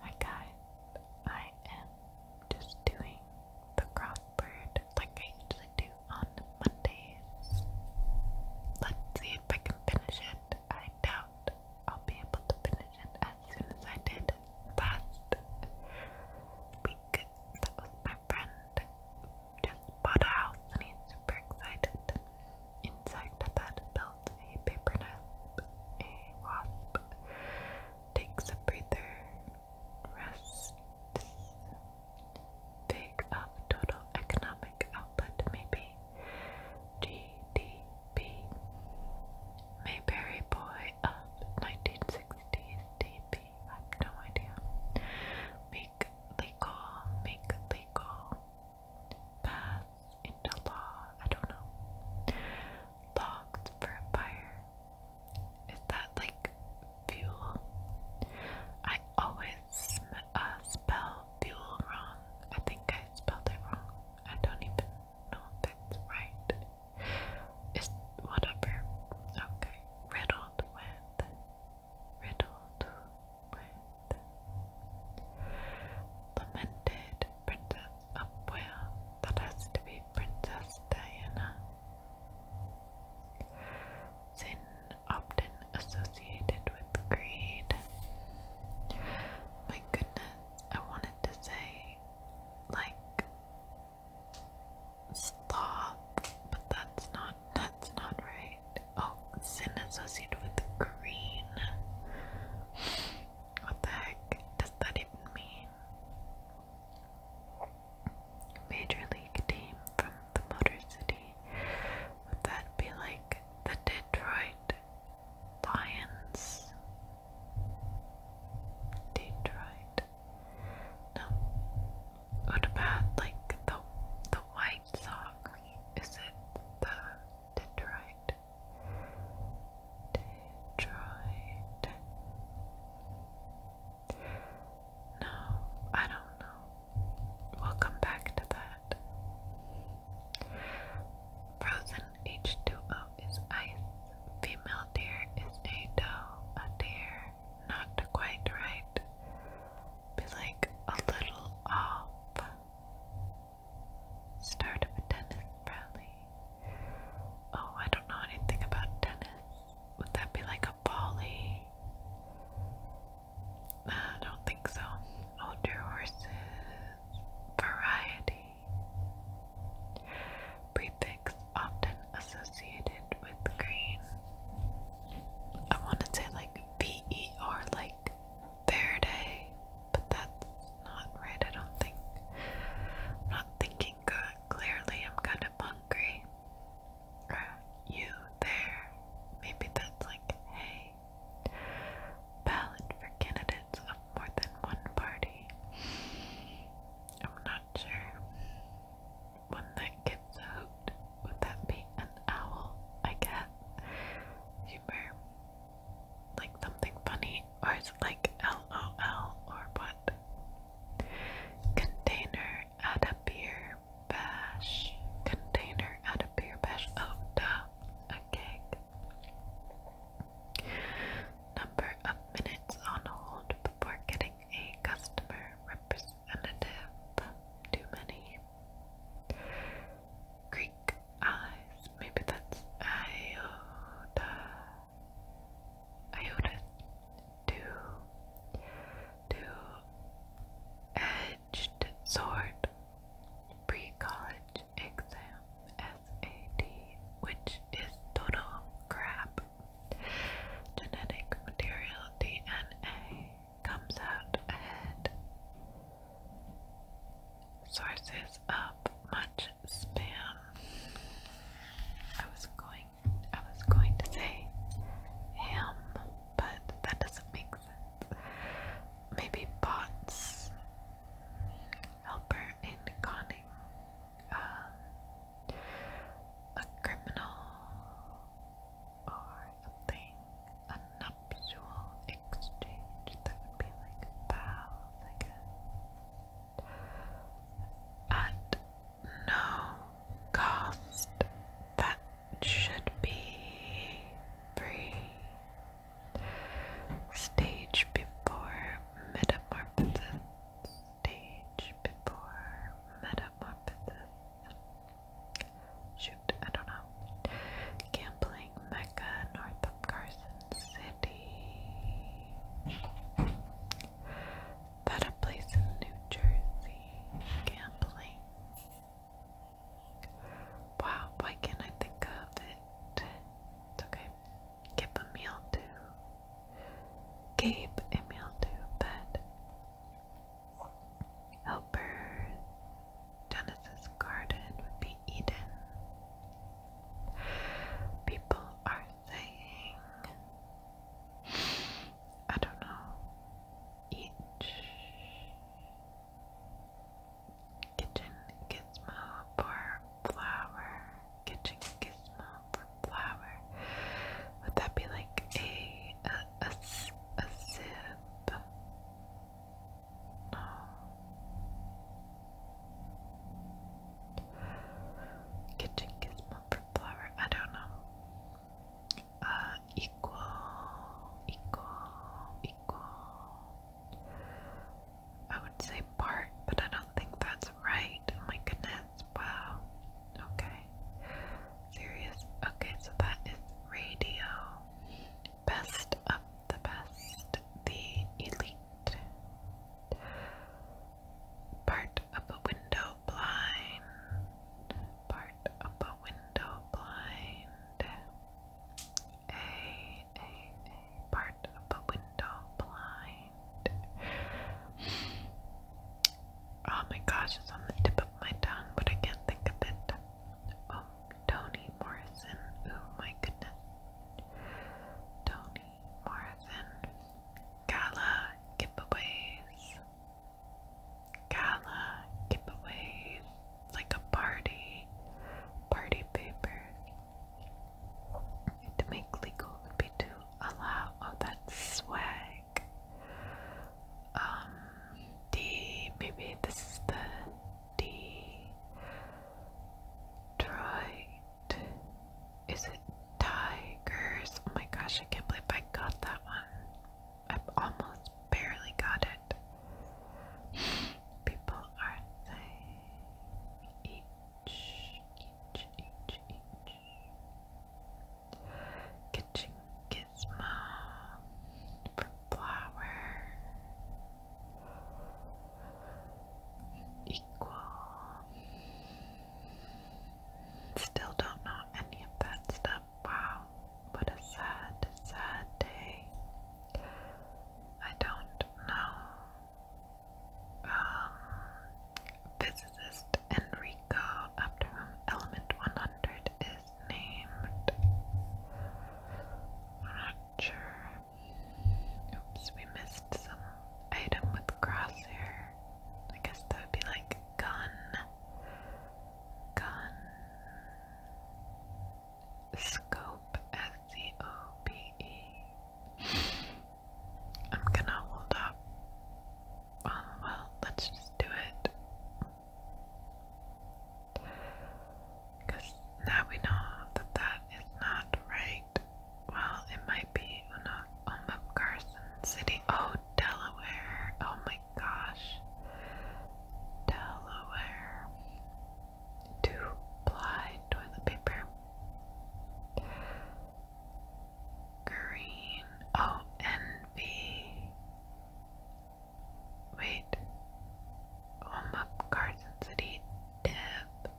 Hi guys, I am just doing the crossword like I usually do on Mondays. Let's see if I can finish it. I doubt I'll be able to finish it as soon as I did last week. That was my friend who just bought a house and he's super excited. Inside of that building felt a paper nap, a wasp takes a breather, rests. Fig of total economic output maybe. GDP. Mayberry boy of 1960s DP. I have no idea. Make legal, make legal pass into law. I don't know. Logs for a fire. Is that like fuel? I always uh, spell fuel wrong. I think I spelled it wrong. I don't even know if it's right. It's whatever. Okay. Riddled with. Riddled with lamented Princess Upwell that has to be Princess Diana. Sin often associated with greed. My goodness, I wanted to say like sloth, but that's not that's not right. Oh, sin associated with green. What the heck does that even mean? Major League team from the Motor City. Would that be like the Detroit Lions? Detroit. No. What about like the the White Sox? Is it the Detroit Detroit. No, I don't know. We'll come back to that. Frozen H2O is ice. Female deer is a doe, a deer. Not quite right. Be like a little off. Start of a tennis rally. Oh, I don't know anything about tennis. Would that be like a volley? I don't think so. Older oh, horses. Variety. Prefix often associated with green. I want to say like V E like Faraday, but that's not right, I don't think. I'm not thinking good. Clearly, I'm kind of hungry. you there. Maybe that's like, hey. Ballot for candidates of more than one party. I'm not sure. One that gets out. Would that be an owl? I guess. Humor like something funny, or it's like LOL or what? Container at a beer bash. Container at a beer bash. Oh, duh. A gig. Number of minutes on hold before getting a customer representative. Too many. Greek allies. Maybe that's iota. Iota to to edged sword pre-college exam SAT, which is total crap. Genetic material DNA comes out ahead. Sources of much spam. I was going I was going to say ham, but that doesn't make sense. Maybe bots helper in conning uh, a criminal or a a nuptial exchange that would be like a like a at no cost that should be free. Stage before metamorphosis. Stage before metamorphosis. Shoot, I don't know. Gambling Mecca, north of Carson City. That place in New Jersey. Gambling. Wow, why can't I think of it? It's okay. Give a meal to. Gabe a meal to bed. Helper, Genesis garden would be Eden. People are saying, I don't know, each kitchen gizmo for flower, kitchen gizmo for flower. Would that be like a a, a, a sieve? it. No. Kitchen gizmo for flower. I don't know. Uh, equal, equal, equal. I would say part, but I don't think that's right. Oh my goodness! Wow. Okay. Serious. Okay, so that is radio. Best of the best. The elite. Part of a window blind. Part of a window blind. A, a, a. Part of a window blind. Oh my gosh, it's on the tip of my tongue, but I can't think of it. Oh, Toni Morrison. Oh my goodness. Toni Morrison. Gala giveaways. Gala giveaways. It's like a party. Party papers. To make legal would be to allow. Oh, that's swag. Um, D, maybe this is the Detroit, is it Tigers? Oh my gosh, I can't believe I got that one. I almost barely got it. People are saying each, each, each, each. Kitchen Gizmo for equal. Still don't know any of that stuff. Wow, what a sad, sad day. I don't know. Um, physicist Enrico, after whom element 100 is named. not sure. Oops, we missed some item with crosshair. I guess that would be like gun. Gun. Scope, S-C-O-P-E. I'm gonna hold up well, let's just do it. Because now we know that that is not right. Well, it might be Oma Carson City. Oh, Delaware. Oh my gosh. Delaware. Two ply toilet paper green. Oh, envy. Wait. Home up Carson City. Deb.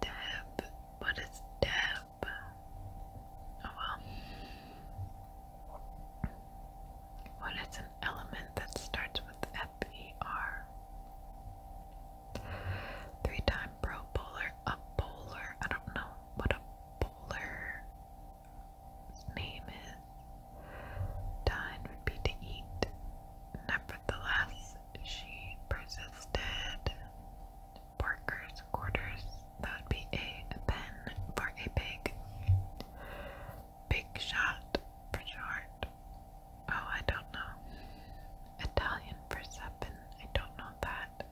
Deb. What is Deb? Oh well. What is an element that starts with F E R? Three times a pro bowler, a bowler. I don't know what a bowler name is. Dine would be to eat. Nevertheless, she persisted. Porkers, quarters, that would be a pen for a pig. Big shot for short. Oh, I don't know. Italian for seven, I don't know that.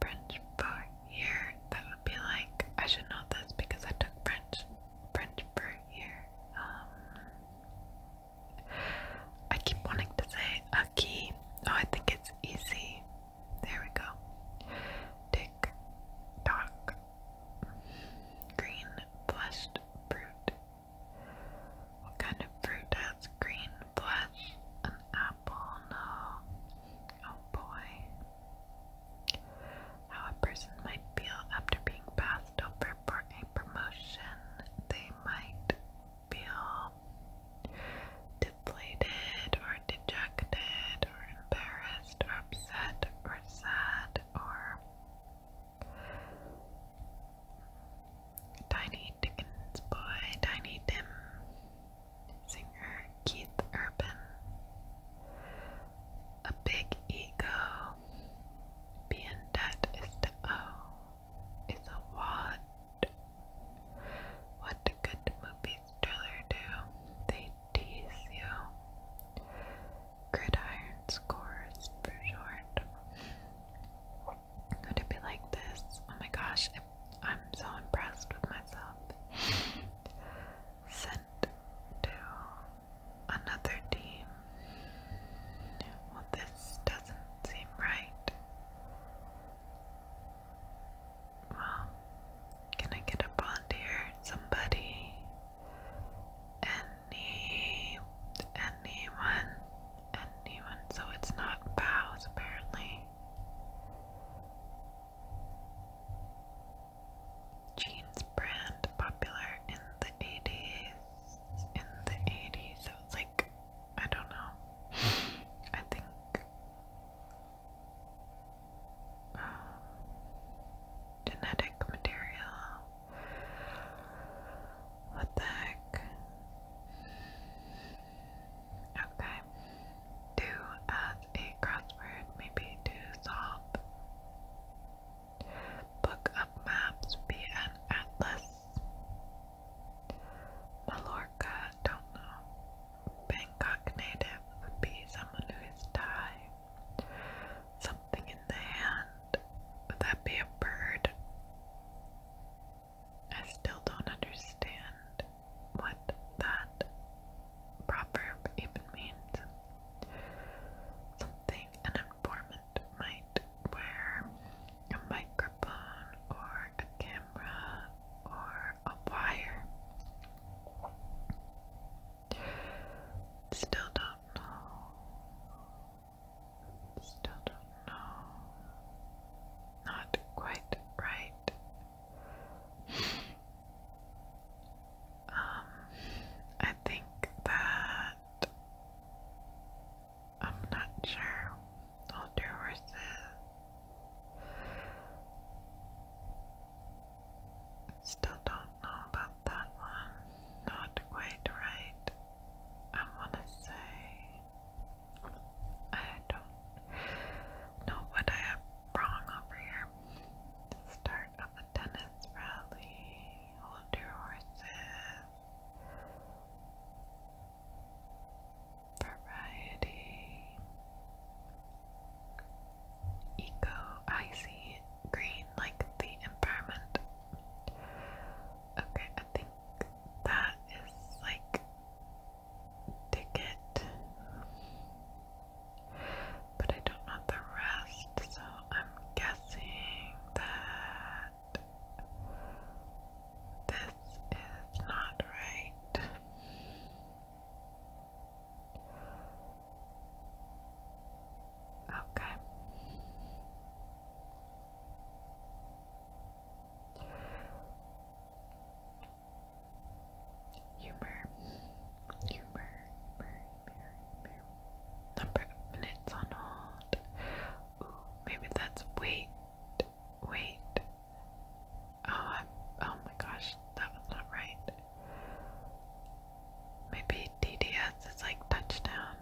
French for here. That would be like I should know this because I took French. French for here. Um, I keep wanting to say a key. Oh, I think it's easy. There we go. Tick, tock. Green, flushed fruit what kind of fruit has green flesh? An apple? No. Oh boy. How a person might feel after being passed over for a promotion. They might feel deflated or dejected or embarrassed or upset or sad or. Tiny Dickens' boy Tiny dim singer Keith Urban, a big ego, be in debt is to owe, is a wad. What good movies thriller do? They tease you. Gridiron scores for short. Going to be like this? Oh my gosh, I'm so impressed with myself. Sent to another team. Well, this doesn't seem right. Well, can I get a volunteer? Somebody? Any? Anyone? and even so it's not bows apparently. Jeans brand popular in the 80s. In the 80s, so it's like, I don't know. I think. Um, genetic material what the heck? Okay. Do as a crossword, maybe to solve. Book of maps, be an atlas. Mallorca, don't know. Bangkok native would be someone who is Thai. Something in the hand. Would that be a bird? I still don't understand what that proverb even means. Something an informant might wear a microphone or a camera or a wire. Still don't know. Still don't know. Not quite right. um, I think that I'm not sure. I'll Still don't know about that one. Not quite right. I wanna say I don't know what I have wrong over here. Start of the tennis rally, hold your horses. Variety Eco Icy Green like the environment Okay, I think that is like ticket. But I don't know the rest, so I'm guessing that this is not right. Okay. Humor, humor, Number of minutes on hold. Ooh, maybe that's wait, wait. Oh, oh my gosh, that was not right. Maybe DDS is like touchdown.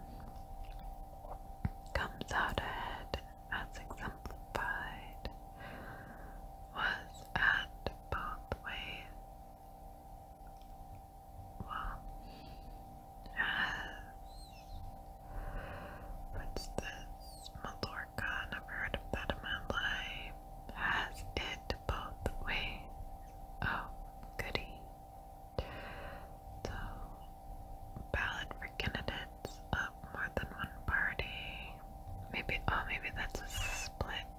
Comes out ahead as exemplified. Was at both ways. Well, as. What's this? Mallorca. Never heard of that in my life. Has it both ways? Oh, goody. So, ballot for candidates of more than one party. Maybe, oh, maybe that's a split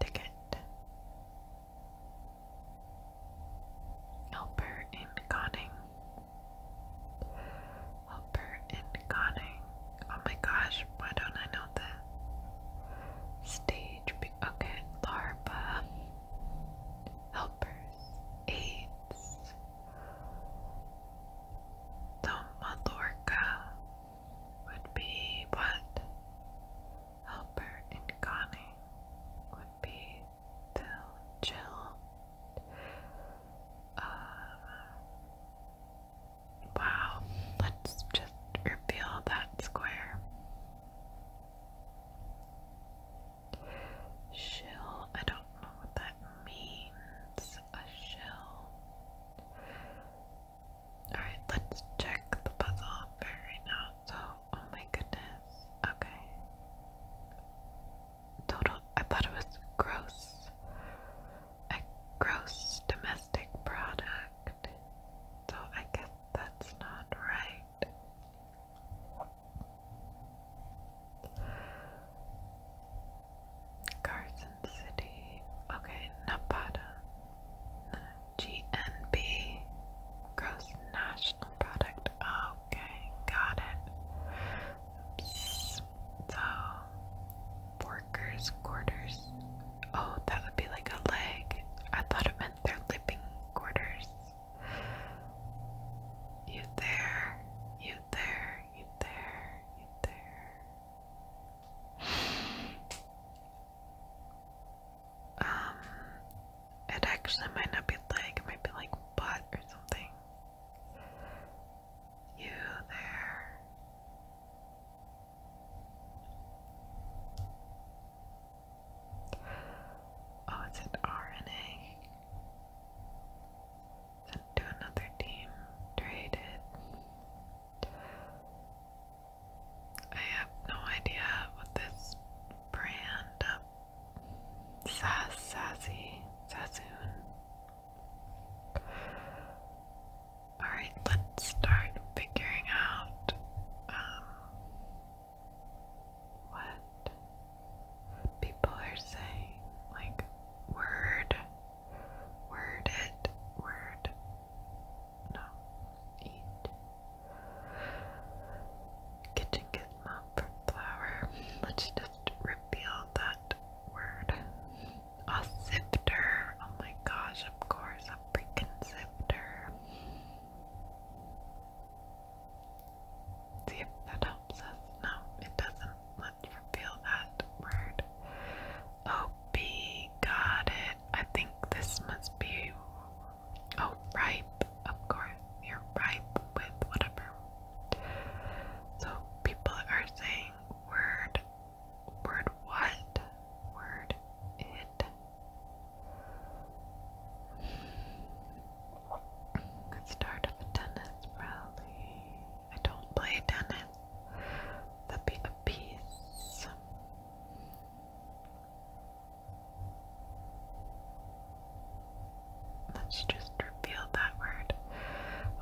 ticket. Helper in Conning. Helper in Conning. Oh my gosh, why don't I know that? Stage sleeping. Okay, larva, helpers, aids, Tomalorca would be what? Helper and Connie would be Bill, Jill. Um, Wow, let's just reveal that square. Shill, I don't know what that means. A shill. Alright, let's check the puzzle right now. oh my goodness. Okay. Total, I thought it was gross. A gross domestic product. So I guess that's not right. Carson City. Okay, Napata. GNB. Gross National Product. Okay, got it. So, workers' quarters. Oh, that would be like a leg. I thought it meant their living quarters. You there, you there, you there, you there. Um, it actually might not be leg, it might be like butt or something. You there. Oh, it's an RNA. Sent another team. Traded. I have no idea what this brand of Sass Sassy Sassoon. Alright, let's start figuring out um, what people are saying. Like, word, word it, word. No, eat. Kitchen gizmo for flour. Let's just reveal that word. A sifter. Oh my gosh, of course, a freaking sifter. See if that helps us. No, it doesn't. Let's reveal that word. OP, oh, got it. I think this must be. Oh, ripe. Of course, you're ripe with whatever. So people are saying word Word what? Word it. start of tennis rally. I don't play tennis. That'd be a Let's just reveal that word.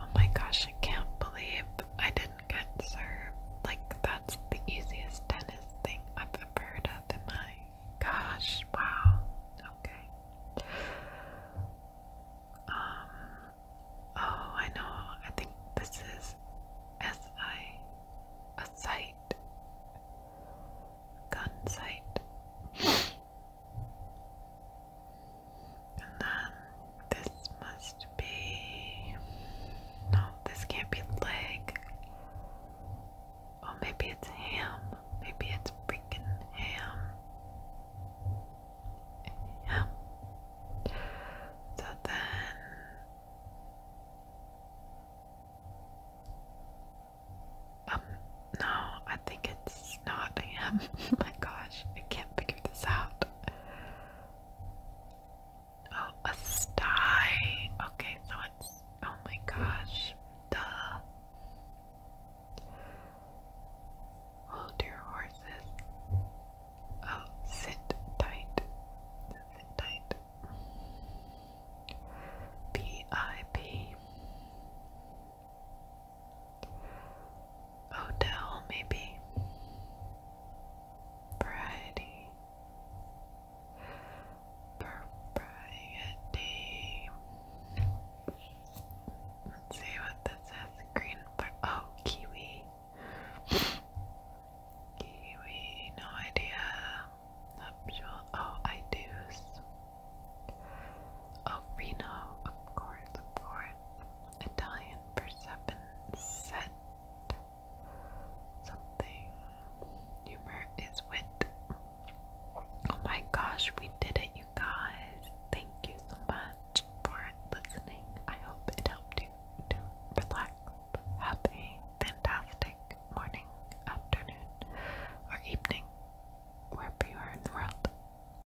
Oh my gosh, I can't believe I did get served. Like, that's the easiest tennis thing I've ever heard of in my gosh, wow. Okay. Um, oh, I know. I think this is SI, a gun site. And then this must be. No, this can't be leg. Oh, maybe it's ham. Maybe it's freaking ham. Ham. So then. Um, no, I think it's not ham. Oh my gosh, I can't figure this out. Oh, a sty. Okay, so it's. Oh my gosh. Duh. Hold your horses. Oh, sit tight. Sit tight. P I P. Odell, maybe. Variety. Propriety. Let's see what this is. Green Oh, kiwi. kiwi. No idea. Nuptial. Oh, I do. Oh, Of course, of course, Italian for something. Humor is wit. Oh my gosh, we did it, you guys. Thank you so much for listening. I hope it helped you to relax. Have a fantastic morning, afternoon, or evening, wherever you are in the world.